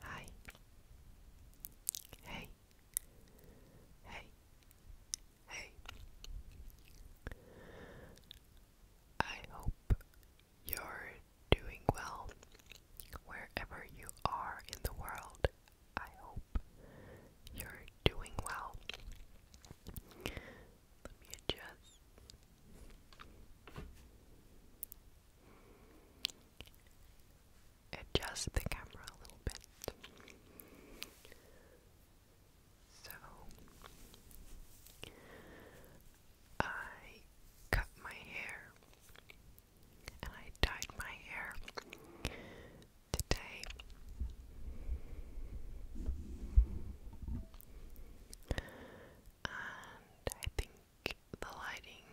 Hi. Hey. Hey. Hey. I hope you're doing well wherever you are in the world I hope you're doing well. Let me adjust. Adjust the camera a little bit. So, I cut my hair and I dyed my hair today. And I think the lighting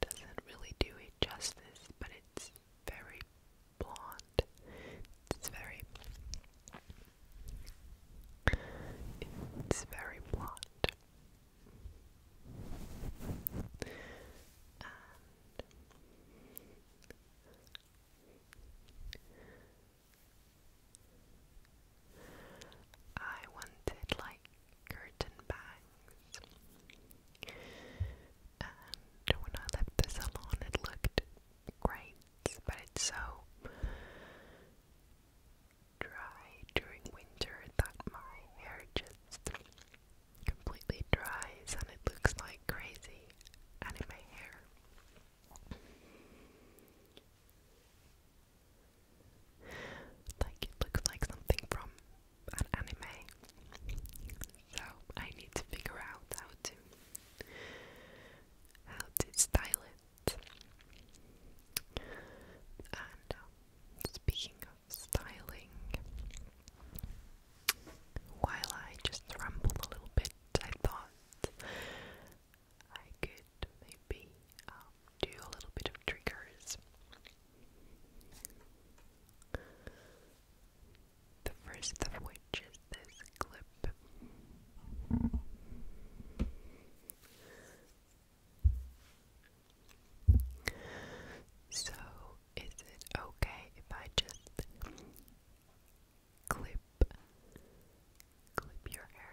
doesn't really do it justice, but it's very blonde. It's very it's very blonde. And I wanted like curtain bangs, and when I left the salon, it looked great, but it's so dry during winter that my hair just completely dries and it looks like crazy and in my hair. Like it looks like something from an anime. So I need to figure out how to how to style it. Um, Speaking of styling, while I just rambled a little bit, I thought I could maybe um, do a little bit of triggers. The first of which is this clip. So, is it okay if I just clip clip your hair?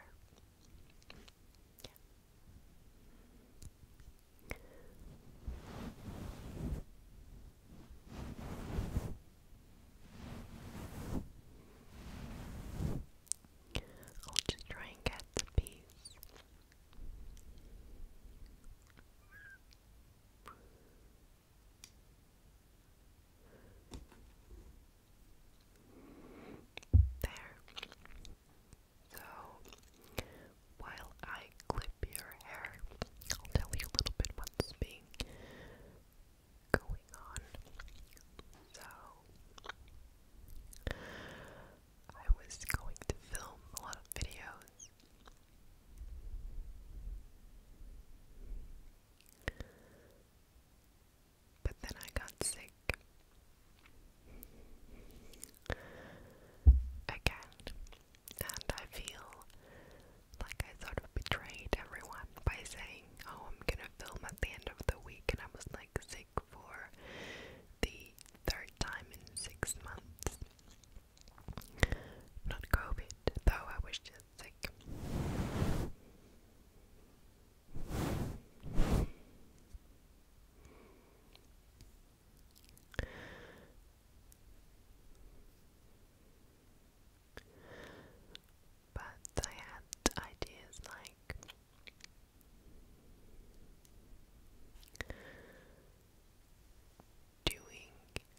I'll just try and get the piece. There. So, while I clip your hair, I'll tell you a little bit what's being going on. So, I was going to film a lot of videos. But then I got sick. Again. And I feel like I sort of betrayed everyone by saying, oh, I'm gonna gonna film at the end of the week, and I was like sick for the third time in six months. Not COVID, though, I was just sick but I had ideas like doing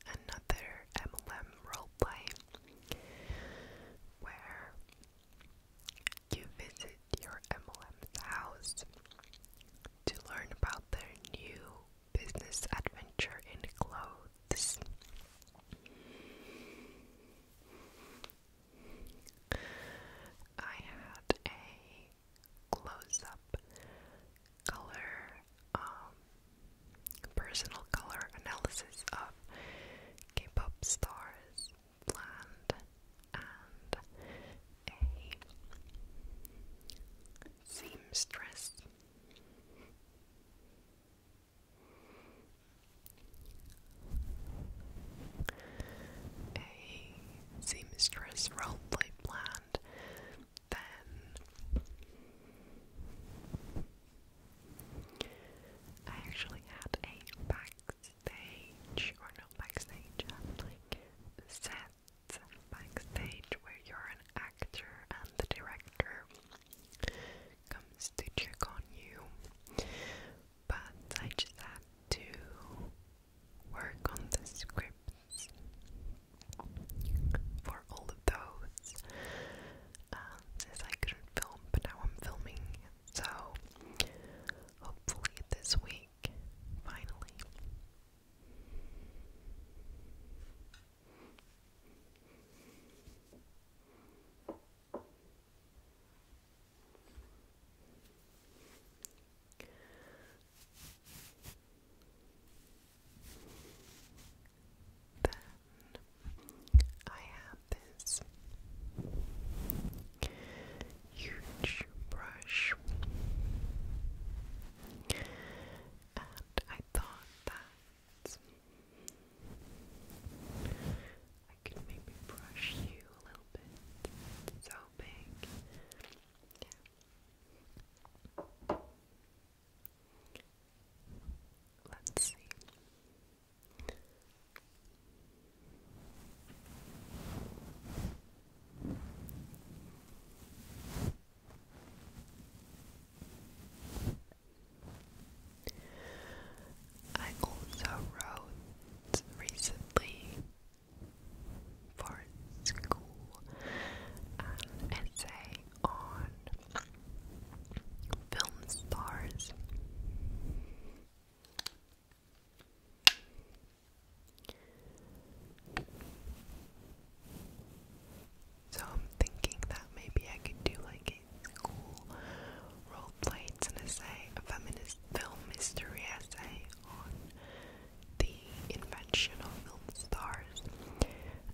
another MLM roleplay where you visit your MLM's house to learn about their new business adventure in clothes. I had a close up color, um, personal color analysis of K pop stars and a seamstress a seamstress roleplay planned, then I actually had a backstage, or not backstage, um, like sets backstage where you're an actor and the director comes to check on you but I just had to work on the scripts for all of those um, I couldn't film, but now I'm filming, so hopefully this week, finally. Then I have this huge brush, and I thought that. I maybe brush you a little bit. so big. Let's see. I also wrote recently for school an essay on film stars. So I'm thinking that maybe I could do like school, role play, an essay, a feminist film history essay on the invention of film stars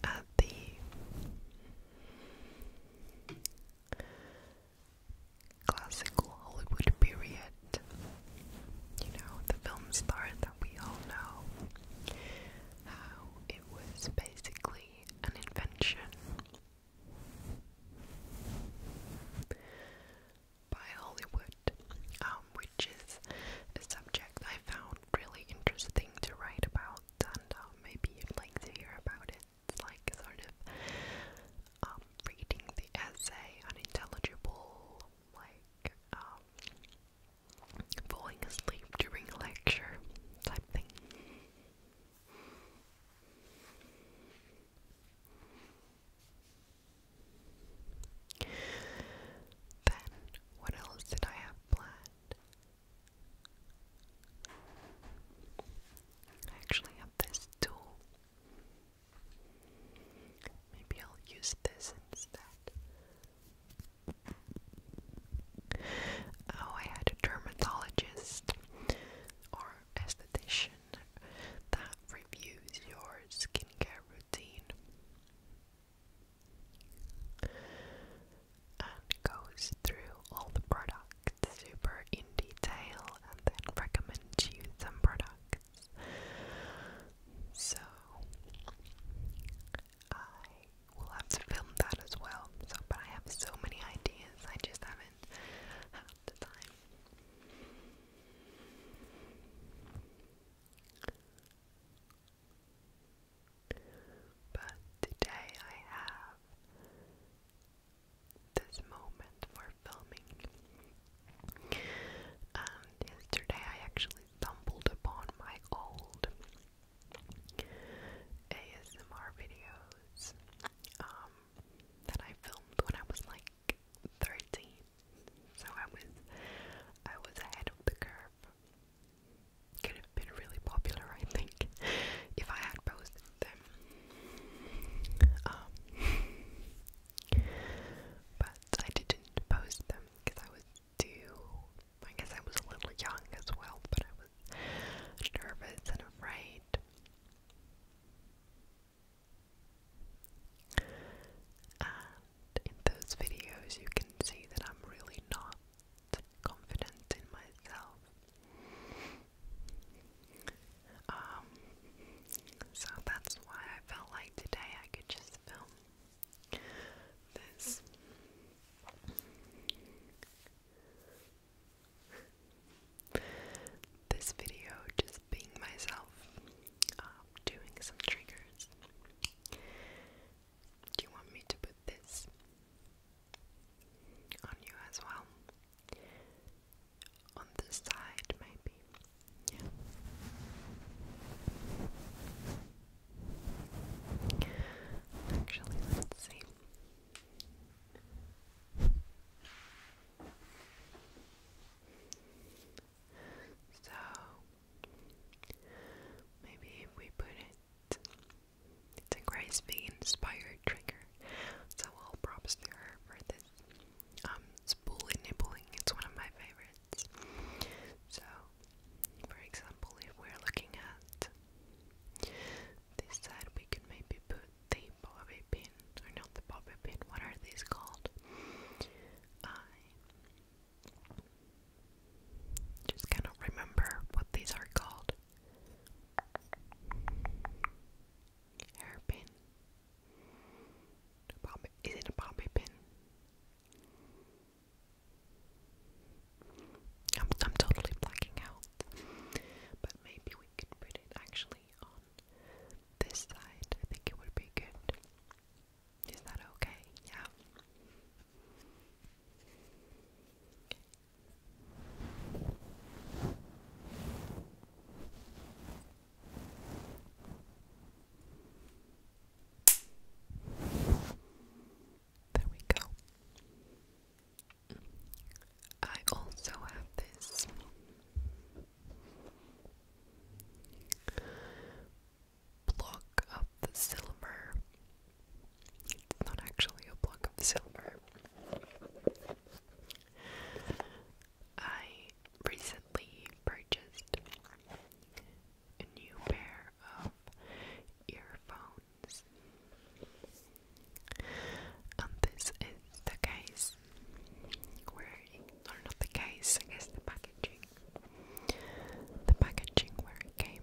at the classical Hollywood period. You know, the film star that we all know. How it was basically an invention by Hollywood, um, which is a subject I found really interesting to write about, and uh, maybe you'd like to hear about it. It's like sort of um, reading the essay, unintelligible, like um, falling asleep during lecture type thing. Then, what else did I have planned? I actually have this tool. Maybe I'll use this instead. Oh, I had a dermatologist or esthetician that reviews your skincare routine and goes through all the products super in detail and then recommends you some products. So I will have to film that as well. So, but I have so many ideas, I just haven't had the time. But today I have this moment for filming. And yesterday I actually stumbled upon my old ASMR videos um, that I filmed when I was like 13. So I was I was ahead of the curve. Could have been really popular, I think, if I had posted them. Um, but I didn't post them because I was do. I guess I was a little young as well, but I was nervous and afraid. And in those videos, you can see that I'm really not confident in myself. Um, so that's why I felt like today I could just film this. This video just being myself, um, doing some triggers. Do you want me to put this on you as well? On the side, maybe. Actually, let's see. So, maybe if we put it, it's a inspired trigger. So, all props to her for this. Um, spoolie nibbling, it's one of my favorites. So, for example, if we're looking at this side, we can maybe put the bobby pin, or not the bobby pin, what are these called? I just cannot remember what these are called. Hairpin. A is it a bobby pin? I'm, I'm totally blacking out. But maybe we could put it actually on this side. I think it would be good. Is that okay? Yeah. There we go. I also have this block of silver. It's not actually a block of silver. I recently purchased a new pair of earphones. And this is the case where, not the case, I guess the packaging. The packaging where it came.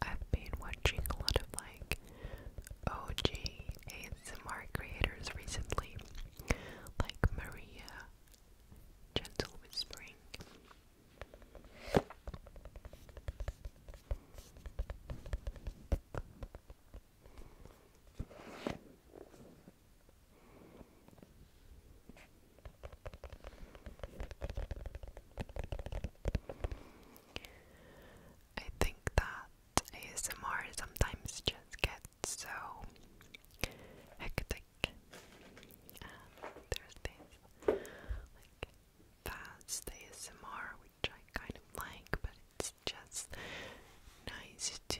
I've been watching a lot of like OG ASMR creators recently, like Maria, Gentle Whispering. I think that ASMR sometimes just gets so hectic. there's this fast ASMR which I kind of like, but it's just nice to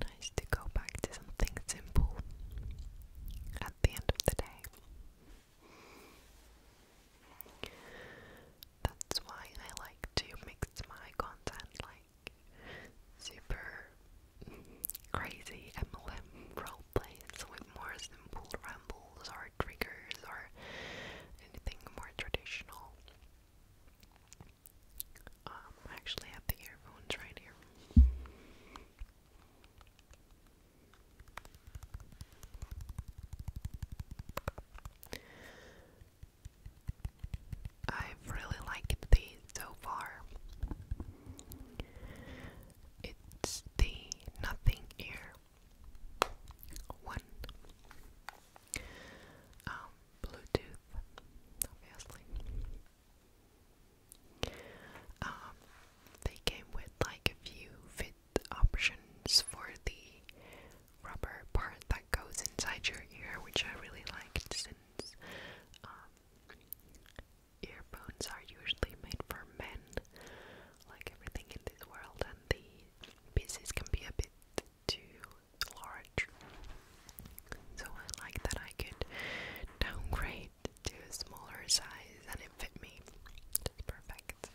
nice to go back to something simple at the end of the day. That's why I like to mix my content like super crazy MLM roleplays with more simple rambles or triggers or anything more traditional. Um, I actually have the earphones right here. I've really liked these so far. It's the Nothing Ear one. Um, Bluetooth, obviously. Um, they came with like a few fit options for the rubber part that goes inside your ear, which I really liked since um, earphones are usually made for men, like everything in this world, and the pieces can be a bit too large. So I like that I could downgrade to a smaller size and it fit me. It's perfect.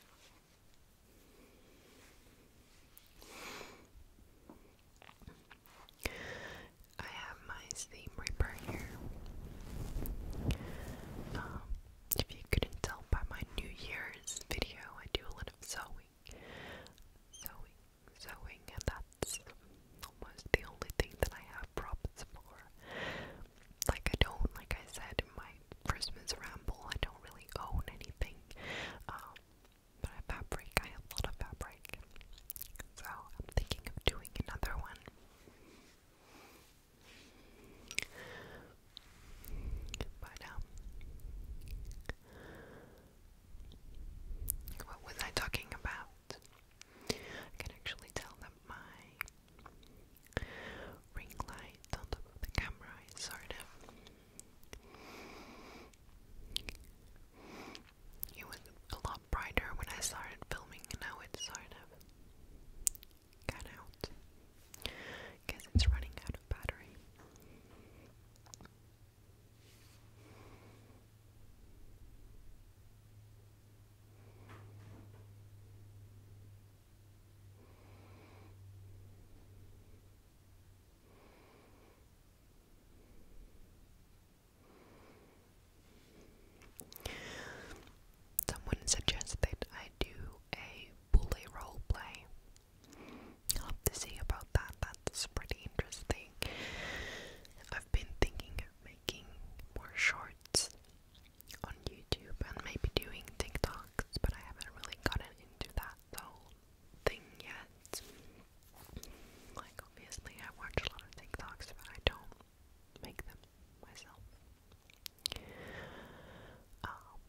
I have my Steam ripper here. Um, if you couldn't tell by my New Year's video, I do a lot of Sewing sewing and that's almost the only thing that I have props for. Like I don't, like I said in my Christmas ramble, I don't really own anything. Um, but I fabric, I have a lot of fabric. So I'm thinking of doing another one. But um what was I talking about? I can actually tell that my ring light on top of the camera is sort of. It was a lot brighter when I started filming, now it's sort of cut out. Because it's running out of battery. Someone suggested I do a bully role play I'll to see about that. That's pretty interesting. I've been thinking of making more shorts on YouTube and maybe doing TikToks, but I haven't really gotten into that whole thing yet. Like, obviously, I watch a lot of TikToks, but I don't make them myself. Um,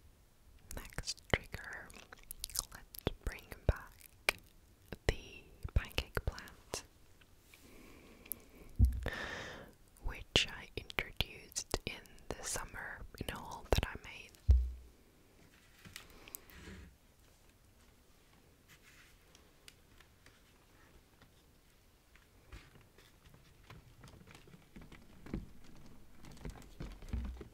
next trigger, let's bring back the pancake plant, which I introduced in the summer in a that I made.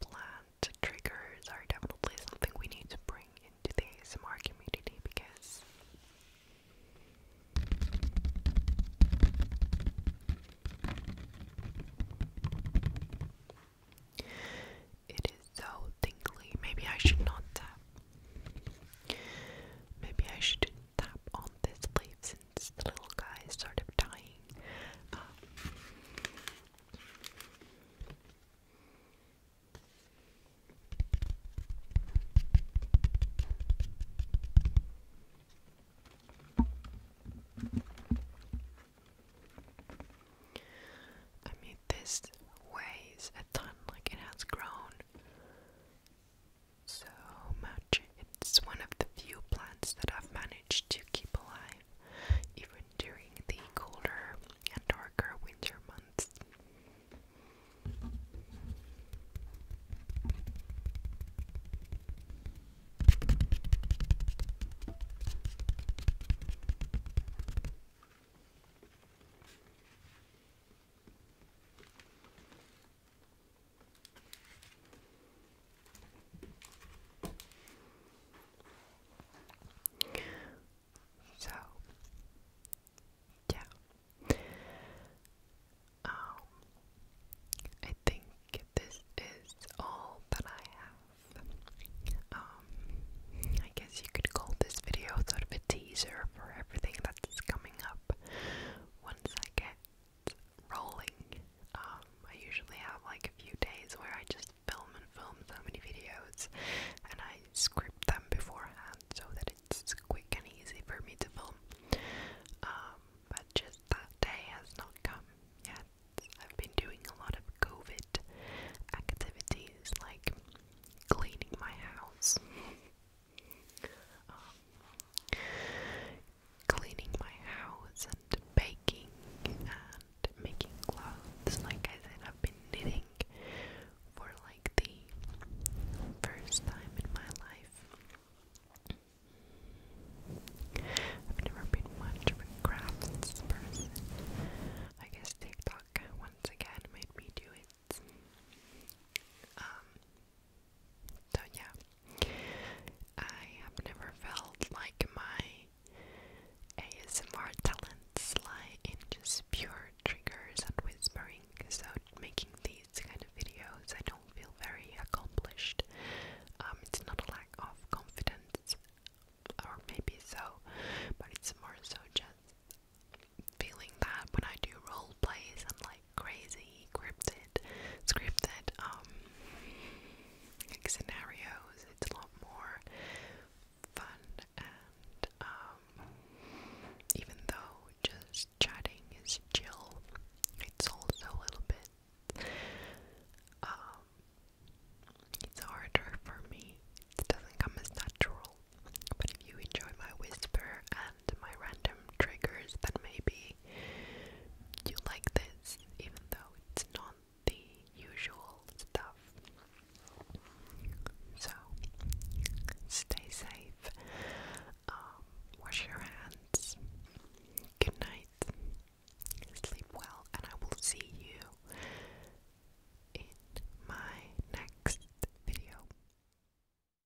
plant triggers are definitely something we need to bring into the ASMR community because it is so tingly. Maybe I should not tap. Maybe I should tap on these leaves the little guy started dying. Um, I mean, this weighs a ton, like, it has grown so much. It's one of the few plants that I've managed to keep alive even during the colder and darker winter months. So, yeah. Um, I think this is all that I have. Um, I guess you could call this video sort of a teaser for everything that's coming up once I get rolling. Um, I usually have like a few days where I just film and film so many videos and I script them beforehand so that it's quick and easy for me to film. Um, but just that day has not come yet. I've been doing a lot of COVID activities like cleaning my house. Um, cleaning my house and baking and making clothes. Like I said, I've been knitting for like the first time in my life. I've never been much of a crafts person. I guess TikTok once again made me do it. Um, so yeah, I have never felt like my ASMR talents lie in just pure triggers and whispering. So making these kind of videos, I don't feel very accomplished. Um, it's not a lack of confidence, or maybe so, but it's more so just feeling that when I do role plays and like crazy scripted, scripted um scenarios. It's a lot more fun and um, even though just chatting is chill, it's also a little bit um, it's harder for me. It doesn't come as natural. But if you enjoy my whisper my random triggers that maybe you like this, even though it's not the usual stuff. So, stay safe, um, wash your hands, good night, sleep well, and I will see you in my next video.